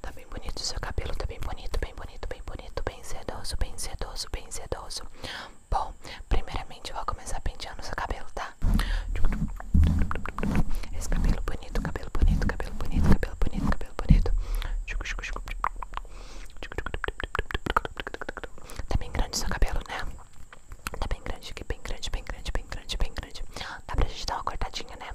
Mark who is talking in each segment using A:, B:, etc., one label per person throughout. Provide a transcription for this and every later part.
A: Tá bem bonito o seu cabelo, tá bem bonito, bem bonito, bem bonito, bem sedoso, bem sedoso, bem sedoso. Bom, primeiramente eu vou começar pentear o seu cabelo, tá? Esse cabelo bonito, cabelo bonito, cabelo bonito, cabelo bonito, cabelo bonito. Tá bem grande o seu cabelo, né? Tá bem grande, bem grande, bem grande, bem grande, bem grande. Dá pra gente dar uma cortadinha, né?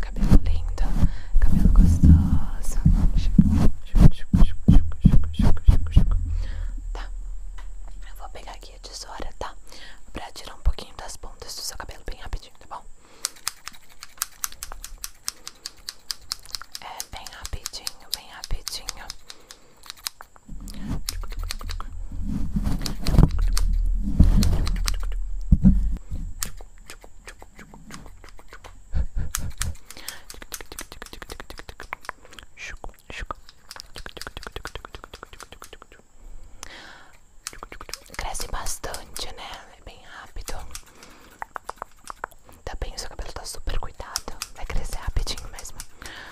A: Cabelo lindo, cabelo gostoso. Tá, eu vou pegar aqui a tesoura, tá? Pra tirar um pouquinho das pontas do seu cabelo bem rapidinho, tá bom? É bem rapidinho, bem rapidinho. Cresce bastante, né? É bem rápido. Tá bem, o seu cabelo tá super cuidado. Vai crescer rapidinho mesmo.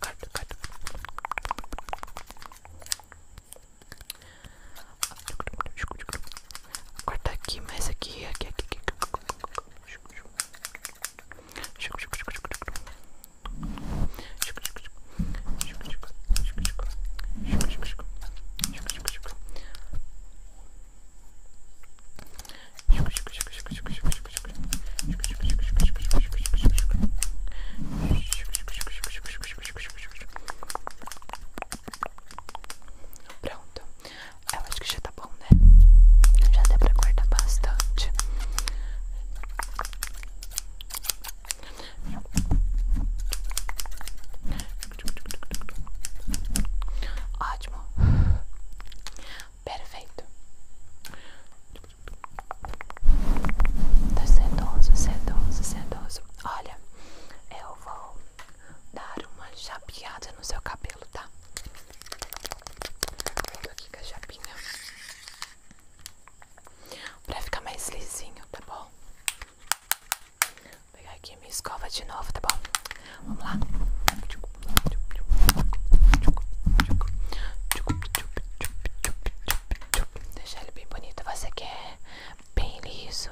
A: Corta, corta. Corta aqui, mais aqui, aqui, aqui, aqui. Pronto, eu acho que já tá bom, né? Já deu pra cortar bastante. Ótimo. Perfeito. Tá sedoso, sedoso, sedoso. Olha, eu vou dar uma chapeada no seu cabelo, tá? Tô aqui com a chapinha. Pra ficar mais lisinho, tá bom? Vou pegar aqui minha escova de novo, tá bom? Vamos lá. Deixar ele bem bonito. Você quer é bem liso?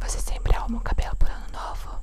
A: Você sempre arruma o cabelo por ano novo?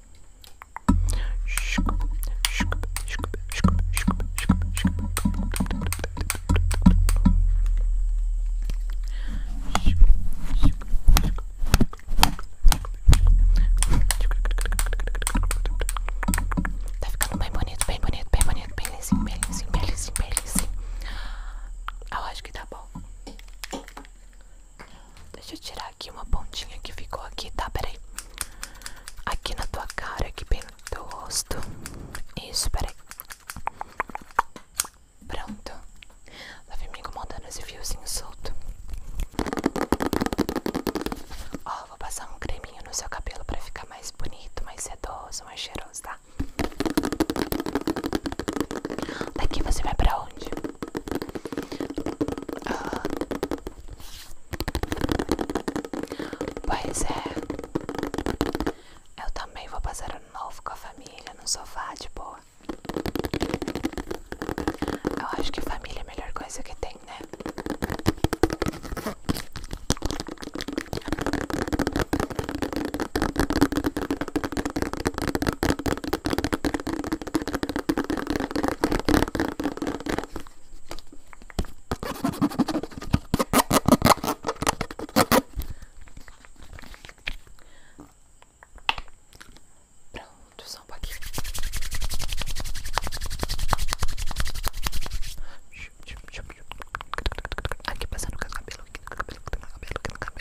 A: Tá ficando bem bonito, bem bonito, bem bonito, bem lisinho, bem lisinho, bem lisinho, bem lisinho. Eu acho que tá bom. Deixa eu tirar aqui uma pontinha que ficou aqui, tá? Peraí. Aqui na tua cara, aqui pelo teu rosto. Isso, peraí. Pronto. Lá vem me dando esse fiozinho solto. Ó, oh, vou passar um creminho no seu cabelo pra ficar mais bonito, mais sedoso, mais cheiroso, tá? Daqui você vai pra onde? Ah. Pois é, eu também vou passar ano novo com a família no sofá de tipo. boa. Eu acho que família é a melhor coisa que tem, né? Pronto, só um pouquinho. Aqui passando o cabelo, aqui no cabelo, aqui no cabelo, aqui no cabelo.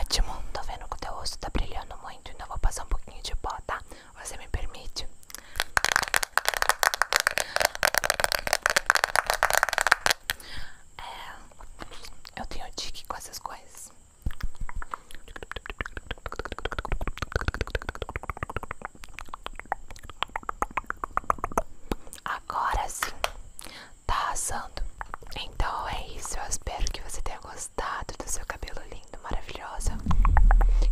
A: Ótimo, tô vendo que o teu rosto tá brilhando muito Então vou passar um pouquinho de pó, tá? Você me permite? É, eu tenho dica com essas coisas Agora sim tá assando. Então é isso, eu espero que você tenha gostado do seu cabelo lindo, maravilhosa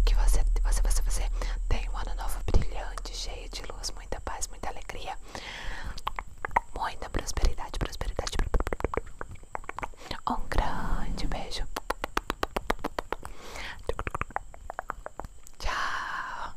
A: Que você, você, você, você tenha um ano novo brilhante, cheio de luz, muita paz, muita alegria, muita prosperidade, prosperidade. Um grande beijo. Tchau.